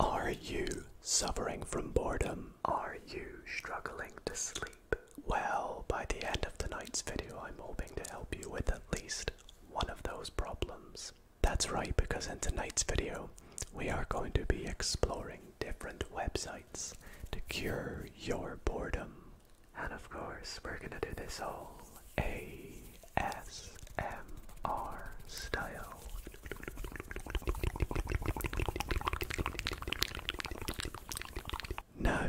Are you suffering from boredom? Are you struggling to sleep? Well, by the end of tonight's video, I'm hoping to help you with at least one of those problems. That's right, because in tonight's video, we are going to be exploring different websites to cure your boredom. And of course, we're gonna do this all ASMR style. Now,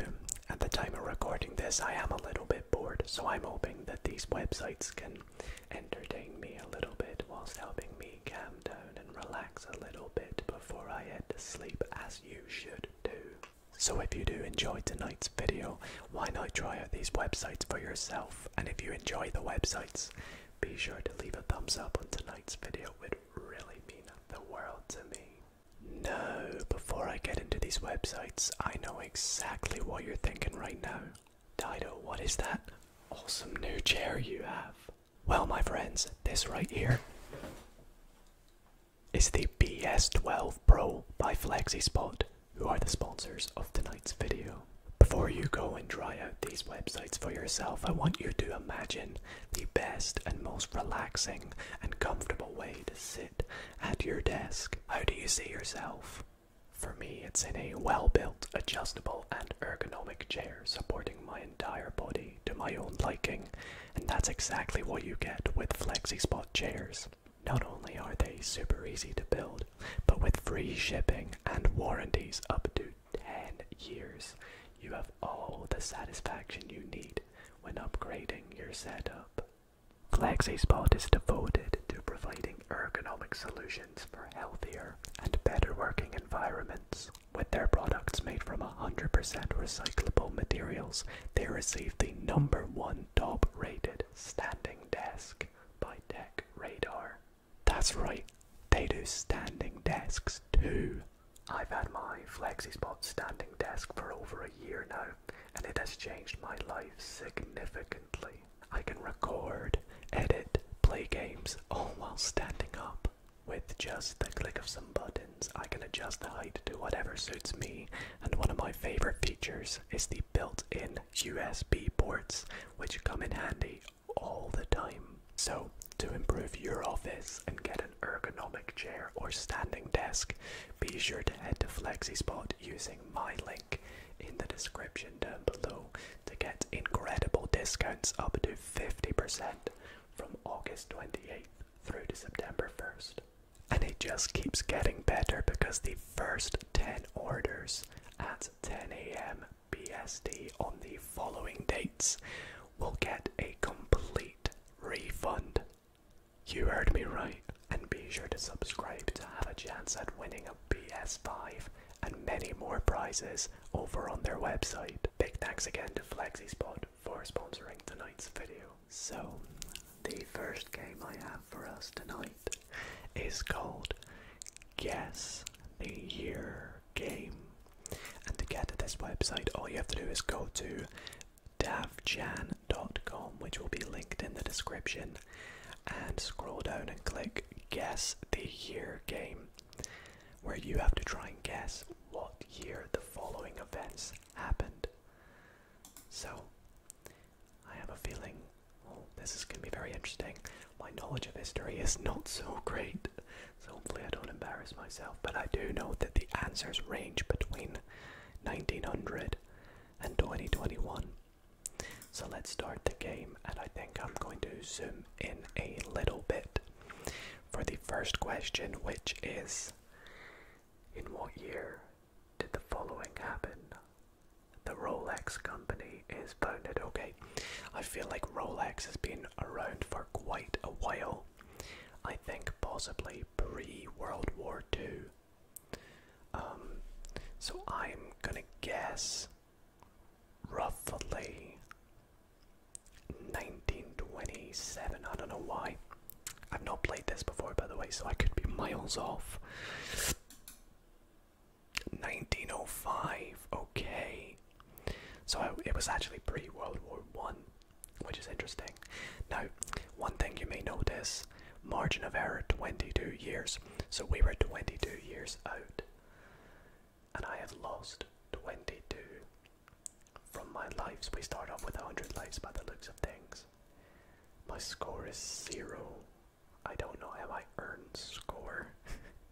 at the time of recording this, I am a little bit bored, so I'm hoping that these websites can entertain me a little bit whilst helping me calm down and relax a little bit before I head to sleep, as you should do. So, if you do enjoy tonight's video, why not try out these websites for yourself? And if you enjoy the websites, be sure to leave a thumbs up on tonight's video, it really mean the world to me. No, before I get into these websites, I know exactly what you're thinking right now. Dido, what is that awesome new chair you have? Well, my friends, this right here is the BS12 Pro by FlexiSpot, who are the sponsors of tonight's video. Before you go and try out these websites for yourself, I want you to imagine the best and most relaxing and comfortable way to sit at your desk. How do you see yourself? For me, it's in a well built, adjustable, and ergonomic chair supporting my entire body to my own liking, and that's exactly what you get with FlexiSpot chairs. Not only are they super easy to build, but with free shipping and warranties up to 10 years, you have all the satisfaction you need when upgrading your setup. FlexiSpot is devoted to providing ergonomic solutions for healthier and better working environments. With their products made from 100% recyclable materials, they received the number one top rated standing desk by Tech Radar. That's right, they do standing desks too. I've had my FlexiSpot standing desk for over a year now, and it has changed my life significantly. I can record, edit, play games, all while standing up. With just the click of some buttons, I can adjust the height to whatever suits me, and one of my favorite features is the built in USB ports, which come in handy all the time. So, to improve your office and get an ergonomic chair or standing desk, be sure to head to FlexiSpot using my link in the description down below to get incredible discounts up to 50% from August 28th through to September 1st. And it just keeps getting better because the first 10 orders at 10 a.m. BSD on the following dates will get a complete refund. You heard me right. And be sure to subscribe to have a chance at winning a PS5 and many more prizes over on their website. Big thanks again to Spot for sponsoring tonight's video. So, the first game I have for us tonight is called guess the year game. And to get to this website, all you have to do is go to davjan.com, which will be linked in the description, and scroll down and click Guess the Year game, where you have to try and guess what year the following events happened. So, I have a feeling this is going to be very interesting. My knowledge of history is not so great, so hopefully I don't embarrass myself, but I do know that the answers range between 1900 and 2021. So let's start the game, and I think I'm going to zoom in a little bit for the first question, which is In what year did the following happen? the Rolex company is founded. Okay, I feel like Rolex has been around for quite a while. I think possibly pre World War II. Um, so I'm gonna guess roughly 1927. I don't know why. I've not played this before, by the way, so I could be miles off. 1905. Okay, so it was actually pre World War One, which is interesting. Now, one thing you may notice: margin of error 22 years. So we were 22 years out, and I have lost 22 from my lives. We start off with 100 lives by the looks of things. My score is zero. I don't know. Have I earned score?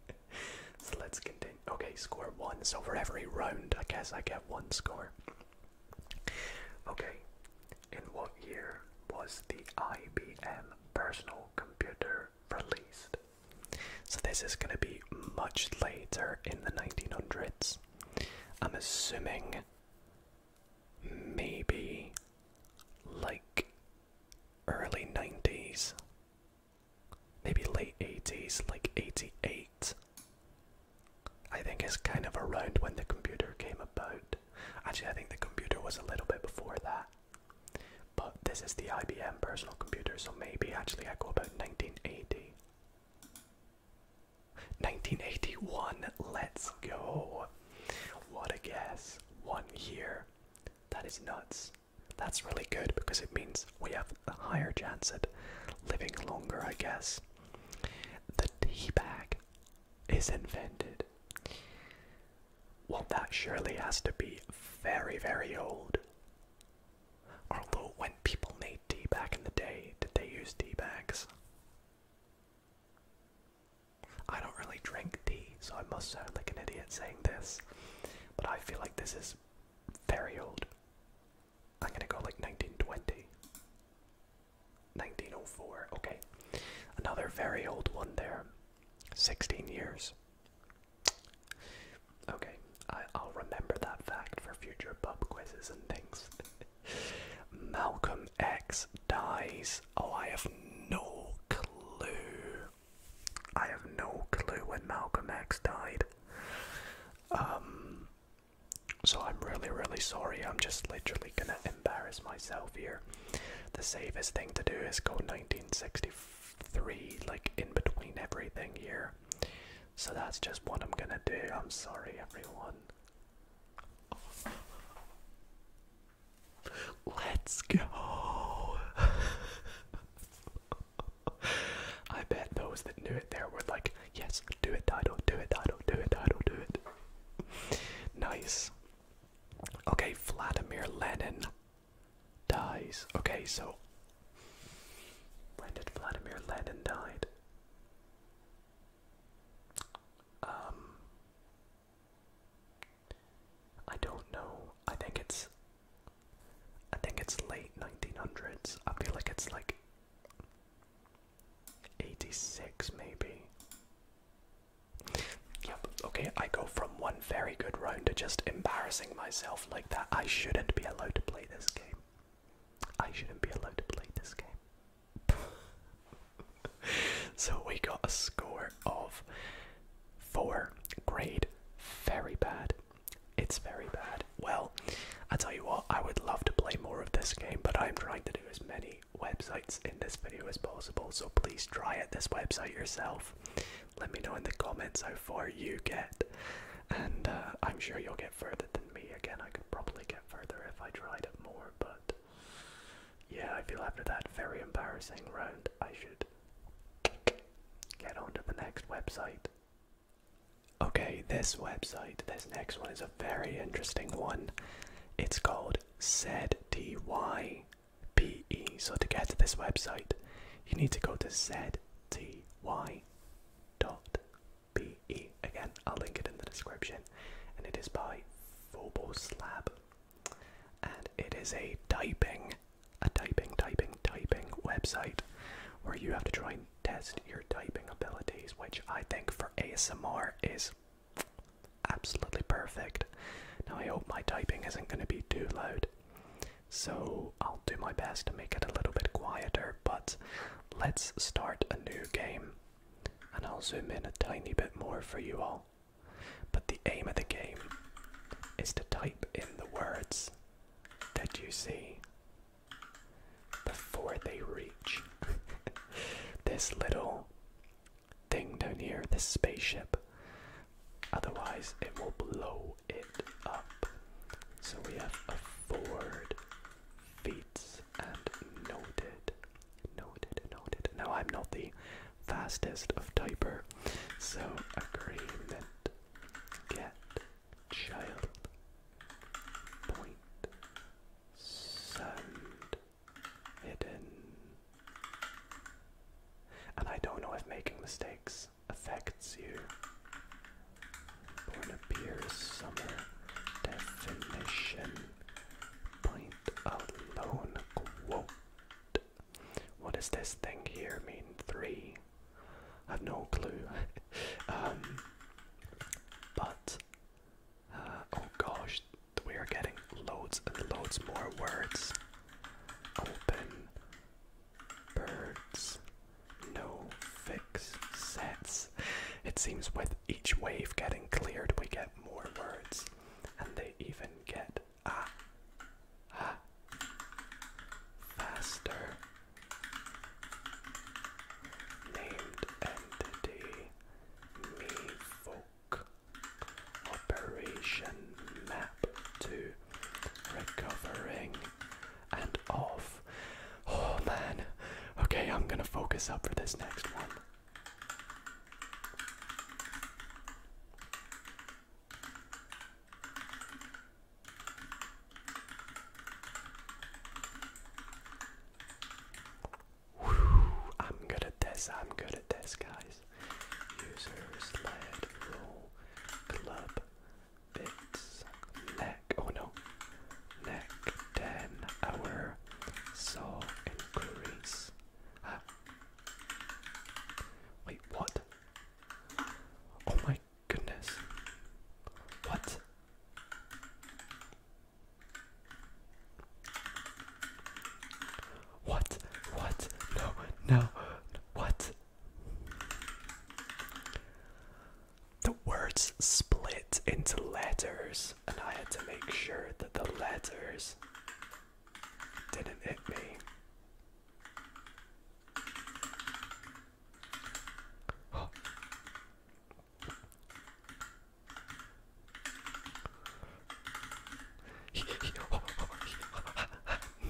so let's continue. Okay, score one. So for every round, I guess I get one score. Okay, in what year was the IBM personal computer released? So this is going to be much later in the 1900s. I'm assuming maybe like early 90s, maybe late 80s, like 88. I think it's kind of around when the computer came about. Actually, I think the computer was a little bit before that. But this is the IBM personal computer, so maybe actually I go about 1980. 1981, let's go. What a guess. One year. That is nuts. That's really good because it means we have a higher chance at living longer, I guess. The tea bag is invented. Well, that surely has to be very, very old. Although, when people made tea back in the day, did they use tea bags? I don't really drink tea, so I must sound like an idiot saying this, but I feel like this is very old. I'm gonna go like 1920. 1904, okay. Another very old one there. 16 years. Okay, I, I'll remember that fact for future pub quizzes and things. Malcolm X dies. Oh, I have no clue. I have no clue when Malcolm X died. Um, so I'm really, really sorry. I'm just literally gonna embarrass myself here. The safest thing to do is go 1963, like in between everything here. So that's just what I'm gonna do. I'm sorry, everyone. Let's go. I bet those that knew it there were like, yes, do it, Dido, do it, Dido, do it, Dido, do it. nice. Okay, Vladimir Lenin dies. Okay, so when did Vladimir Lenin died? Um I don't know. I think it's I think it's late 1900s. I feel like it's like 86 maybe. Yep. Okay, I go from one very good round to just embarrassing myself like that. I shouldn't be allowed to play this game. I shouldn't be allowed to play this game. so we got a score of four. Grade very bad. It's very bad. Well, I tell you what, I would love to play more of this game, but I'm trying to do as many websites in this video as possible. So please try it this website yourself. Let me know in the comments how far you get, and uh, I'm sure you'll get further than me. Again, I could probably get further if I tried it more, but yeah, I feel after that very embarrassing round, I should get on to the next website. Okay, this website, this next one is a very interesting one. It's called ZTYPE. So to get to this website, you need to go to z t y. dot p e. Again, I'll link it in the description. And it is by Phoboslab and it is a typing, a typing, typing, typing website where you have to try and test your typing abilities, which I think for ASMR is absolutely perfect. Now, I hope my typing isn't going to be too loud, so I'll do my best to make it a little bit quieter. But let's start a new game, and I'll zoom in a tiny bit more for you all. But the aim of the game is to type in the words that you see before they reach this little thing down here, this spaceship. Otherwise, it will blow it up. So we have a afford, feats, and noted. Noted, noted. Now I'm not the fastest of typer, so agreement. Get child point sound hidden. And I don't know if making mistakes affects you. Born appears definition point alone quote what does this thing here mean? Three? I have no clue. Um, but, uh, oh gosh, we are getting loads and loads more words. Open. Birds. No fix sets. It seems with each wave getting cleared, we get more words, and they even get ah, ah, faster. Named entity, me folk. Operation map to recovering and off. Oh man. Okay, I'm gonna focus up for this next one. I'm good at this, I'm good at this, guys. User sled roll club bits neck oh no neck ten hour saw increase ah, Wait, what? Oh my goodness. What? What? What? No, no, what? The words split into letters, and I had to make sure that the letters didn't hit me.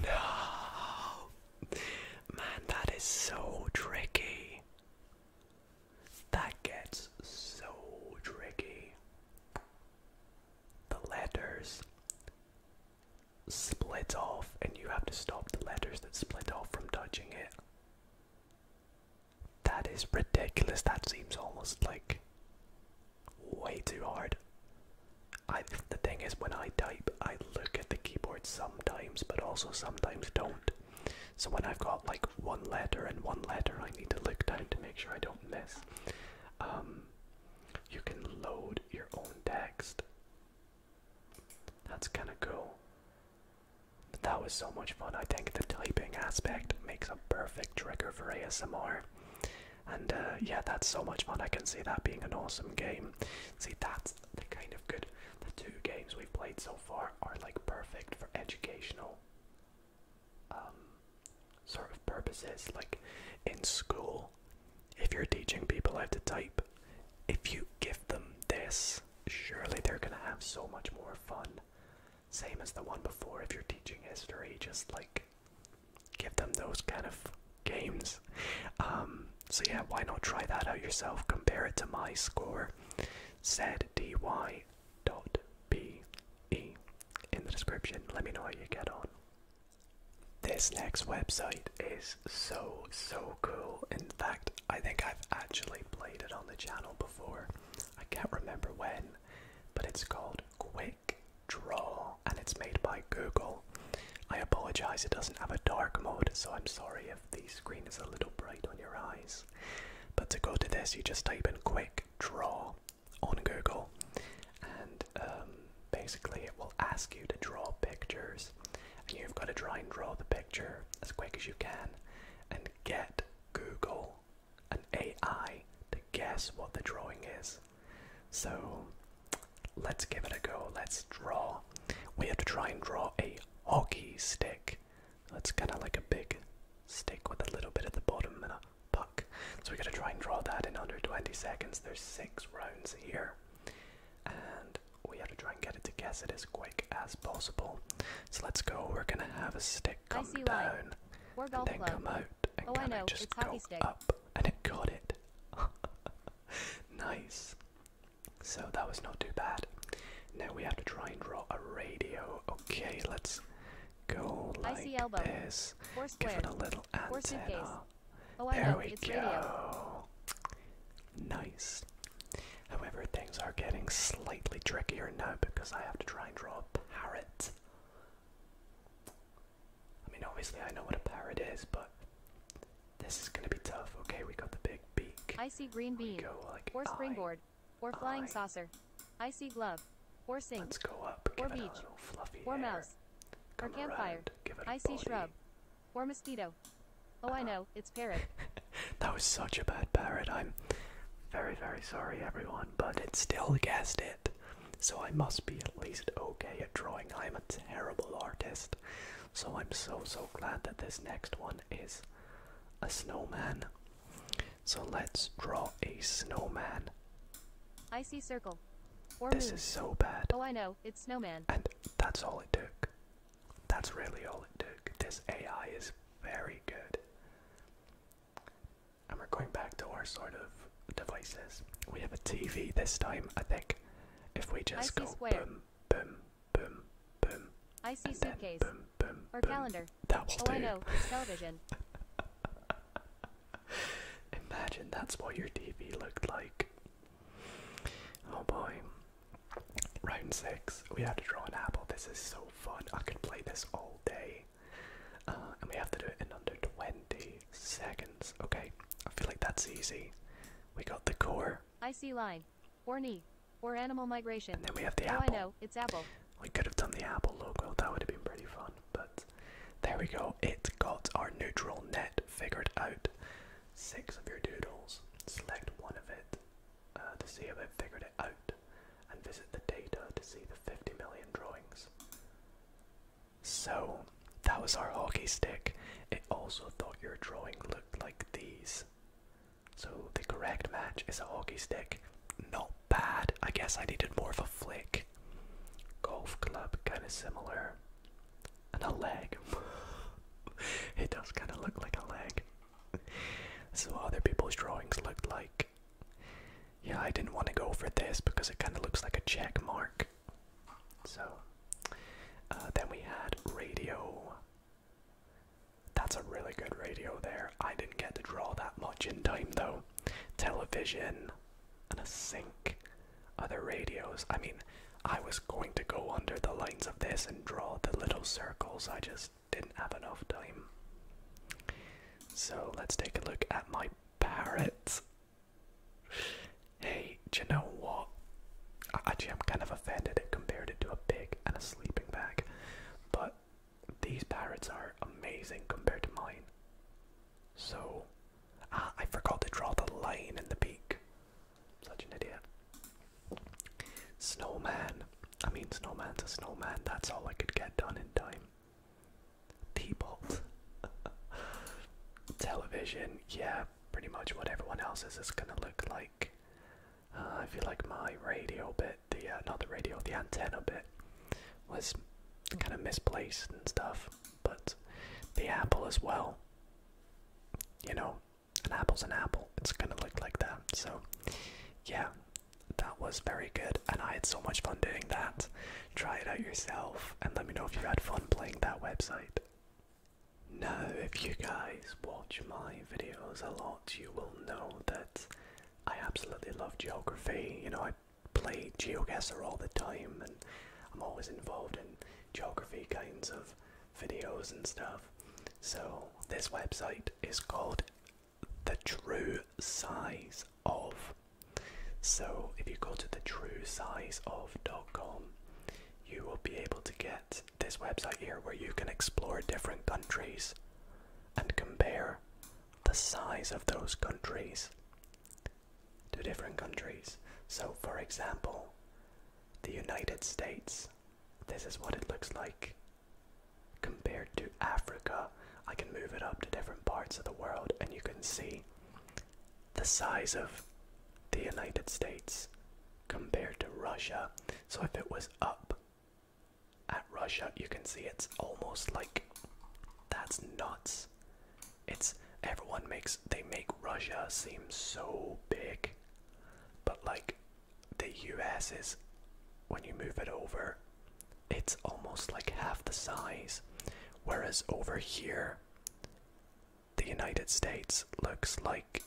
no, man, that is so tricky. That gets so tricky the letters split off, and you have to stop the letters that split off from touching it. That is ridiculous. That seems almost like way too hard. I, the thing is, when I type, I look at the keyboard sometimes, but also sometimes don't. So when I've got like one letter and one letter, I need to look down to make sure I don't miss. Um, you can load your own text. That's kind of cool. that was so much fun. I think the typing aspect makes a perfect trigger for ASMR. And uh, yeah, that's so much fun. I can see that being an awesome game. See, that's the kind of good. The two games we've played so far are like perfect for educational um, sort of purposes. Like in school, if you're teaching people how to type, if you give them this, surely they're going to have so much more fun. Same as the one before, if you're teaching history, just like give them those kind of games. Um, so, yeah, why not try that out yourself? Compare it to my score. Said DY www.bbc.co.uk.pe in the description. Let me know how you get on. This next website is so, so cool. In fact, I think I've actually played it on the channel before. I can't remember when, but it's called Quick Draw and it's made by Google. I apologize, it doesn't have a dark mode, so I'm sorry if the screen is a little bright on your eyes. But to go to this, you just type in Quick Draw on Google, and um, basically it will ask you to draw pictures, and you've got to try and draw the picture as quick as you can, and get Google, an AI, to guess what the drawing is. So let's give it a go. Let's draw. We have to try and draw a hockey stick. That's kind of like a big stick with a little bit at the bottom and a puck. So we got to try and draw that in under 20 seconds. There's six rounds here, and we have to try and get it to guess it as quick as possible. So let's go. We're gonna have a stick come down, and then club. come out, and oh, kind of just it's go stick. up, and it got it. nice. So that was not too bad. Now we have to try and draw a radio. Okay, let's go like I see elbow. this. Four Give it a little Four antenna. Suitcase. Oh, I there we it's go. Radio. Nice. However, things are getting slightly trickier now because I have to try and draw a parrot. I mean, obviously I know what a parrot is, but this is gonna be tough. Okay, we got the big beak. I see green bean. Go, like, or springboard. or flying saucer. I see glove. Or sink. Or beach. or mouse. or campfire. I see shrub. Or mosquito. Oh, I uh-huh. know. It's parrot. that was such a bad parrot. I'm very, very sorry, everyone, but it still guessed it. So I must be at least okay at drawing. I'm a terrible artist. So I'm so, so glad that this next one is a snowman. So let's draw a snowman. I see circle. this is so bad. Oh, I know, it's snowman. And that's all it took. That's really all it took. This AI is very good. And we're going back to our sort of devices. We have a TV this time, I think. If we just go square. boom, boom, boom, boom. I see suitcase. or calendar. oh, I know, it's television. Imagine that's what your TV looked like. Oh boy. Round six, we have to draw an apple. This is so fun. I could play this all day. Uh, and we have to do it in under 20 seconds. Okay, I feel like that's easy. We got the core. I see line, or knee, or animal migration. And then we have the oh, apple. I know, it's apple. We could have done the Apple logo, that would have been pretty fun, but there we go. It got our neutral net figured out. Six of your doodles, select one of it uh, to see if it figured it out, and visit the data to see the 50 million drawings. So, that was our hockey stick. It also thought your drawing looked like these. So, the correct match is a hockey stick, not bad. I guess I needed more of a flick. Golf club, kind of similar. And a leg. it does kind of look like a leg. So other people's drawings looked like. Yeah, I didn't want to go for this because it kind of looks like a check mark. So, uh, then we had radio. That's a really good radio there. I didn't get to draw that much in time though television, and a sink, other radios. I mean, I was going to go under the lines of this and draw the little circles, I just didn't have enough time. So let's take a look at my parrot. Hey, do you know what? Actually, I'm kind of offended it compared to a pig and a sleeping bag, but these parrots are amazing compared to mine. So, ah, I forgot to draw the line in the beak. Such an idiot. Snowman. I mean, snowman's a snowman. That's all I could get done in time. T-bolt. Television. Yeah, pretty much what everyone else's is gonna look like. Uh, I feel like my radio bit the uh, not the radio, the antenna bit was kind of misplaced and stuff. But the apple as well, you know, an apple's an apple. It's gonna look like that. So yeah, that was very good, and I had so much fun doing that. Try it out yourself, and let me know if you had fun playing that website. Now, if you guys watch my videos a lot, you will know that I absolutely love geography. You know, I play geoguesser all the time and i'm always involved in geography kinds of videos and stuff so this website is called the true size of so if you go to the true size of dot com, you will be able to get this website here where you can explore different countries and compare the size of those countries to different countries. So, for example, the United States, this is what it looks like compared to Africa. I can move it up to different parts of the world, and you can see the size of the United States compared to Russia. So, if it was up at Russia, you can see it's almost like that's nuts. It's everyone makes they make Russia seem so big, but like the US is when you move it over, it's almost like half the size. Whereas over here, the United States looks like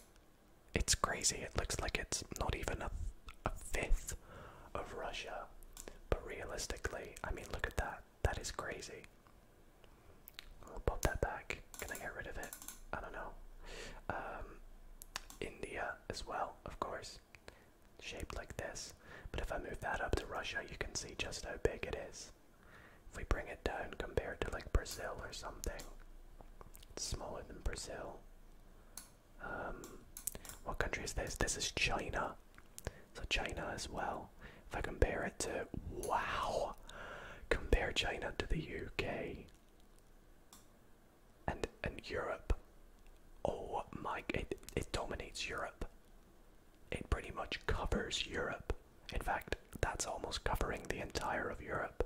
it's crazy. It looks like it's not even a a fifth of Russia. But realistically, I mean, look at that. That is crazy. I'll pop that back. Can I get rid of it? I don't know. Um, India as well, of course, shaped like this. But if I move that up to Russia, you can see just how big it is. If we bring it down compared to like Brazil or something, it's smaller than Brazil. Um, what country is this? This is China. So China as well. If I compare it to wow, compare China to the UK and and Europe. Oh my! It it dominates Europe. It pretty much covers Europe. In fact, that's almost covering the entire of Europe.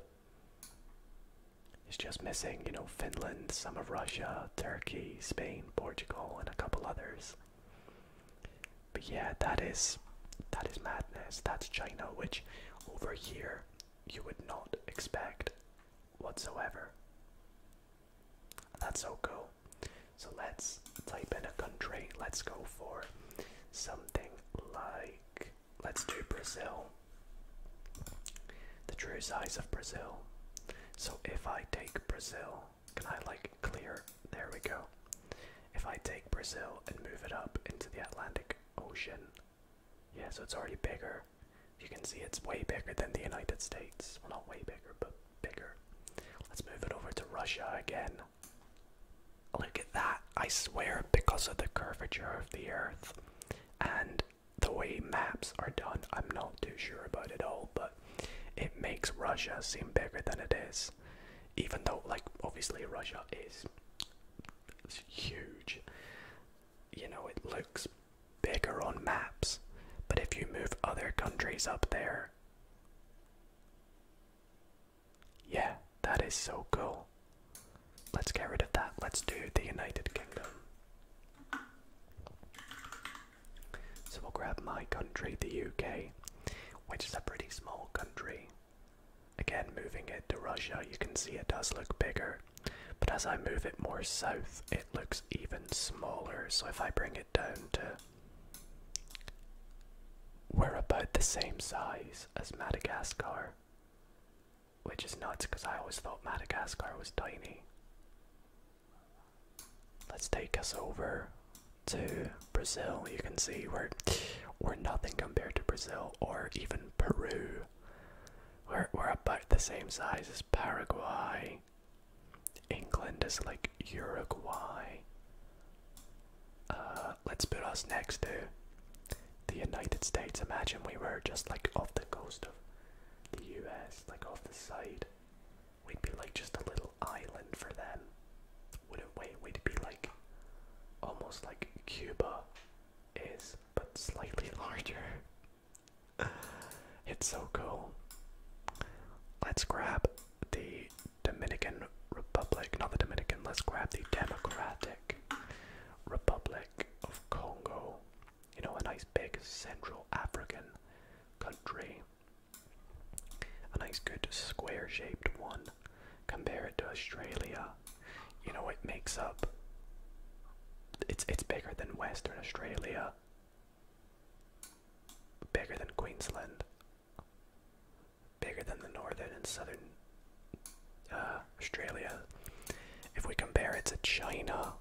It's just missing, you know, Finland, some of Russia, uh, Turkey, Spain, Portugal, and a couple others. But yeah, that is that is madness. That's China, which over here you would not expect whatsoever. That's so cool. So let's type in a country. Let's go for something like let's do Brazil. The true size of Brazil. So if I take Brazil, can I like clear? There we go. If I take Brazil and move it up into the Atlantic Ocean, yeah, so it's already bigger. You can see it's way bigger than the United States. Well, not way bigger, but bigger. Let's move it over to Russia again. Look at that. I swear, because of the curvature of the Earth and the way maps are done, I'm not too sure about it all, but it makes Russia seem bigger than it is. Even though, like, obviously Russia is huge. You know, it looks bigger on maps, but if you move other countries up there, yeah, that is so cool. Let's get rid of that. Let's do the United Kingdom. So we'll grab my country, the UK, which is a pretty small country. Again, moving it to Russia, you can see it does look bigger. But as I move it more south, it looks even smaller. So if I bring it down to. We're about the same size as Madagascar. Which is nuts because I always thought Madagascar was tiny. Let's take us over to Brazil. You can see we're we're nothing compared to Brazil or even Peru. We're we're about the same size as Paraguay. England is like Uruguay. Uh, let's put us next to the United States. Imagine we were just like off the coast of the US, like off the side. We'd be like just a little island for them, wouldn't we? We'd be like almost like Cuba is, but slightly larger. it's so cool. Let's grab the Dominican Republic, not the Dominican, let's grab the Democratic Republic of Congo you know, a nice big Central African country. A nice, good square shaped one. Compare it to Australia. You know, it makes up. It's, it's bigger than Western Australia, bigger than Queensland, bigger than the northern and southern uh, Australia. If we compare it to China,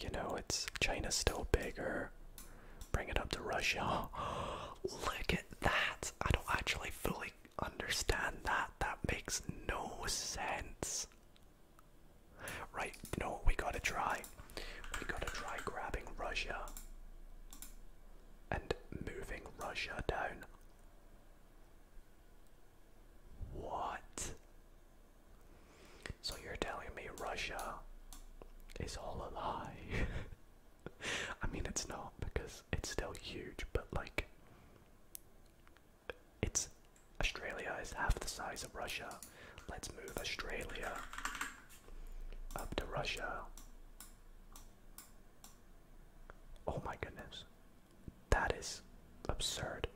you know, it's China's still bigger. Bring it up to Russia. Look at that. I don't actually fully understand that. That makes no sense. Right, you know we gotta try? We gotta try grabbing Russia and moving Russia down. What? So you're telling me Russia is all a lie? I mean, it's not because it's still huge, but like, it's Australia is half the size of Russia. Let's move Australia up to Russia. Oh my goodness. That is absurd.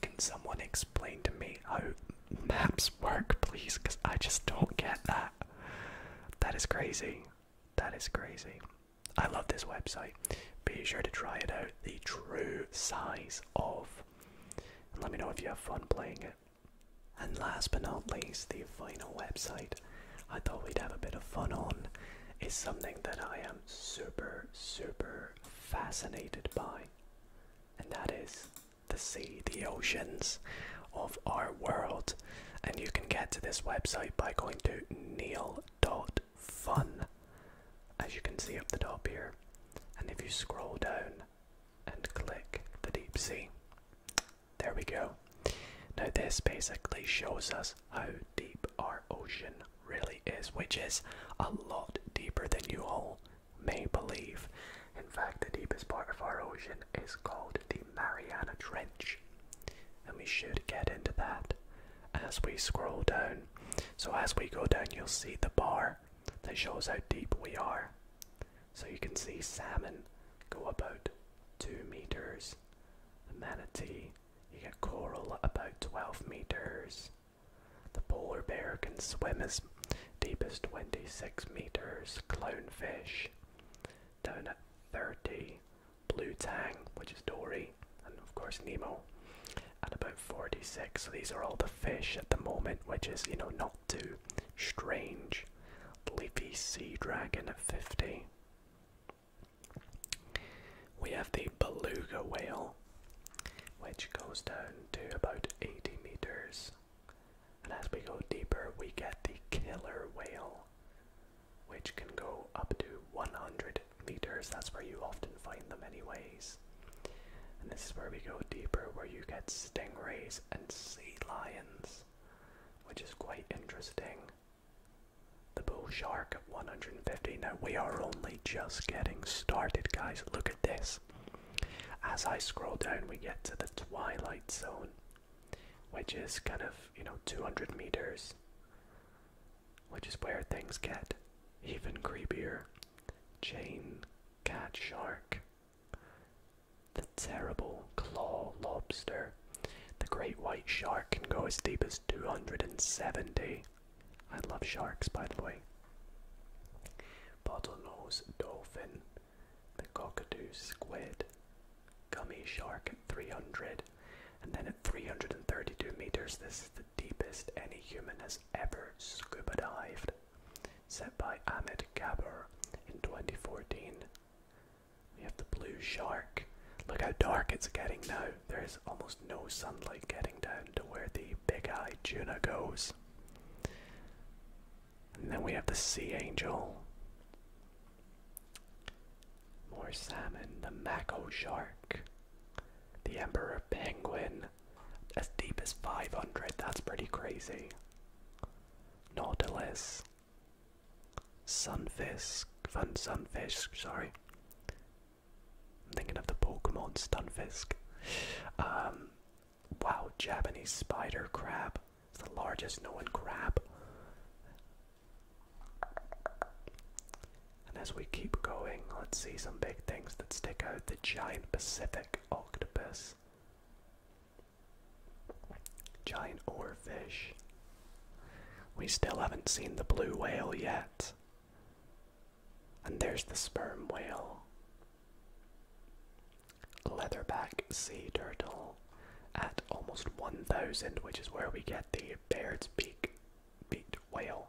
Can someone explain to me how maps work, please? Because I just don't get that. That is crazy. That is crazy. I love this website. Be sure to try it out. The true size of. let me know if you have fun playing it. And last but not least, the final website I thought we'd have a bit of fun on is something that I am super, super fascinated by, and that is the sea, the oceans of our world. And you can get to this website by going to neil.fun, as you can see up the top here. And if you scroll down and click the deep sea, there we go. Now, this basically shows us how deep our ocean really is, which is a lot deeper than you all may believe. In fact, the deepest part of our ocean is called the Mariana Trench, and we should get into that as we scroll down. So, as we go down, you'll see the bar that shows how deep we are. So, you can see salmon go about two meters, the manatee, you get coral about 12 meters. The polar bear can swim as deep as 26 meters. Clownfish down 30. Blue tang, which is dory, and of course Nemo at about 46. So these are all the fish at the moment, which is, you know, not too strange. Leafy sea dragon at 50. We have the beluga whale, which goes down to about 80 meters. And as we go deeper, we get the killer whale, which can go up to 100 meters. That's where you often find them, anyways. And this is where we go deeper, where you get stingrays and sea lions, which is quite interesting the bull shark at 150. Now we are only just getting started, guys. Look at this. As I scroll down, we get to the twilight zone, which is kind of, you know, 200 meters, which is where things get even creepier. Chain cat shark, the terrible claw lobster. The great white shark can go as deep as 270 I love sharks, by the way. Bottlenose dolphin, the cockatoo squid, gummy shark at 300, and then at 332 meters, this is the deepest any human has ever scuba dived, set by Ahmed Gaber in 2014. We have the blue shark. Look how dark it's getting now there is almost no sunlight getting down to where the big eye tuna goes. And then we have the sea angel. More salmon, the mako shark, the emperor penguin, as deep as 500, that's pretty crazy. Nautilus, sunfish, fun sunfish, sorry, I'm thinking of the Pokemon Stunfisk. Um, wow, Japanese spider crab. It's the largest known crab. And as we keep going, let's see some big things that stick out. The giant Pacific octopus, giant oarfish. We still haven't seen the blue whale yet. And there's the sperm whale, leatherback sea turtle at almost 1,000, which is where we get the Baird's beak beak whale.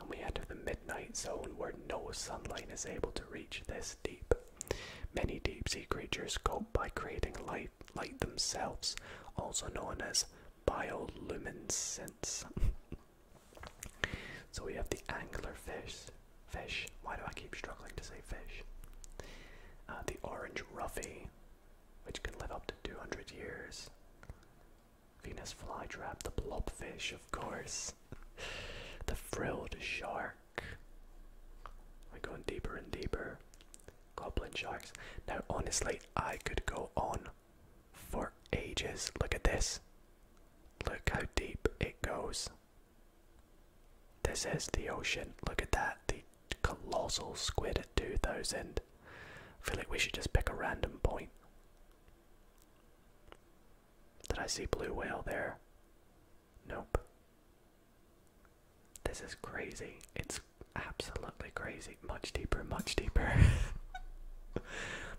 And we enter the midnight zone where no sunlight is able to reach this deep. Many deep sea creatures cope by creating light themselves, also known as bioluminescence. So we have the anglerfish. Fish. Why do I keep struggling to say fish? Uh, the orange ruffy, which can live up to 200 years. Venus flytrap, the blobfish, of course. the frilled shark. We're going deeper and deeper. Goblin sharks. Now, honestly, I could go on for ages. Look at this. Look how deep it goes. This is the ocean. Look at that. The colossal squid at 2000. feel like we should just pick a random point. Did I see blue whale there? Nope. This is crazy. It's absolutely crazy much deeper, much deeper.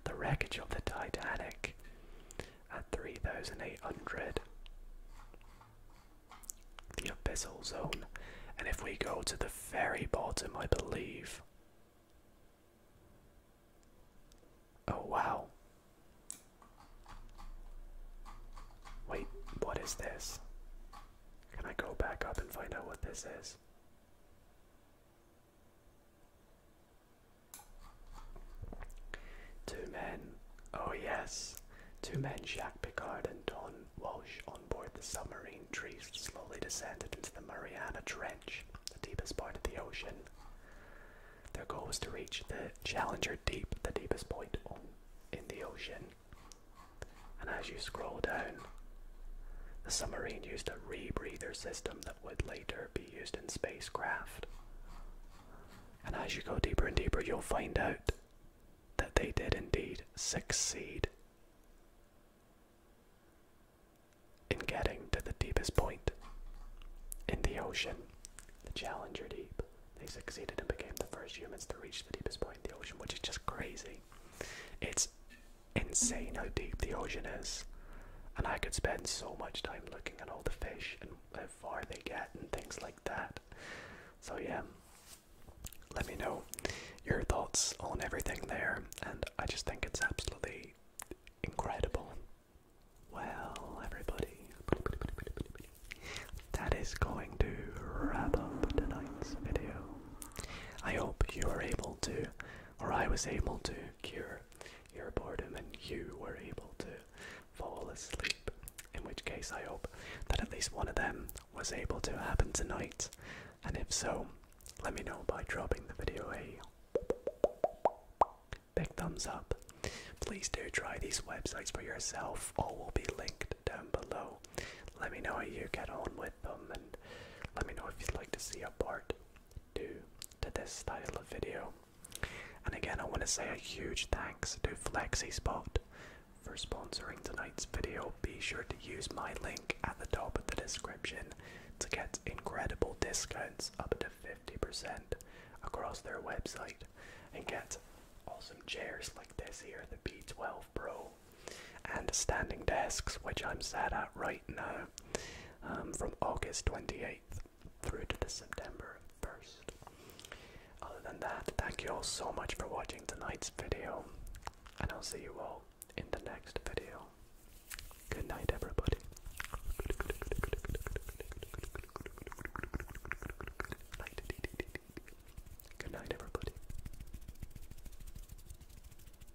the wreckage of the Titanic at 3,800. The abyssal zone. And if we go to the very bottom, I believe. Oh wow. Wait, what is this? Can I go back up and find out what this is? Two men, oh yes, two men, Jacques Picard and Don Walsh, on board the submarine trees slowly descended into the Mariana Trench, the deepest part of the ocean. Their goal was to reach the Challenger Deep, the deepest point in the ocean. And as you scroll down, the submarine used a rebreather system that would later be used in spacecraft. And as you go deeper and deeper, you'll find out that they did indeed succeed in getting to the deepest point in the ocean, the Challenger Deep. They succeeded and became the first humans to reach the deepest point in the ocean, which is just crazy. It's insane how deep the ocean is. And I could spend so much time looking at all the fish and how far they get and things like that. So, yeah, let me know your thoughts on everything there. And I just think it's absolutely incredible. Well, everybody, that is going to wrap up tonight's video. I hope you were able to or I was able to cure your boredom and you were able to fall asleep. In which case, I hope that at least one of them was able to happen tonight. And if so, let me know by dropping the video a big thumbs up. Please do try these websites for yourself, all will be linked down below. Let me know how you get on with them and let me know if you'd like to see a part two to this style of video. And again, I want to say a huge thanks to FlexiSpot for sponsoring tonight's video. Be sure to use my link at the top of the description to get incredible discounts up to 50% across their website and get awesome chairs like this here, the B12 Pro and standing desks, which I'm sat at right now, um, from August 28th through to the September 1st. Other than that, thank you all so much for watching tonight's video, and I'll see you all in the next video. Good night, everybody. Good night, everybody.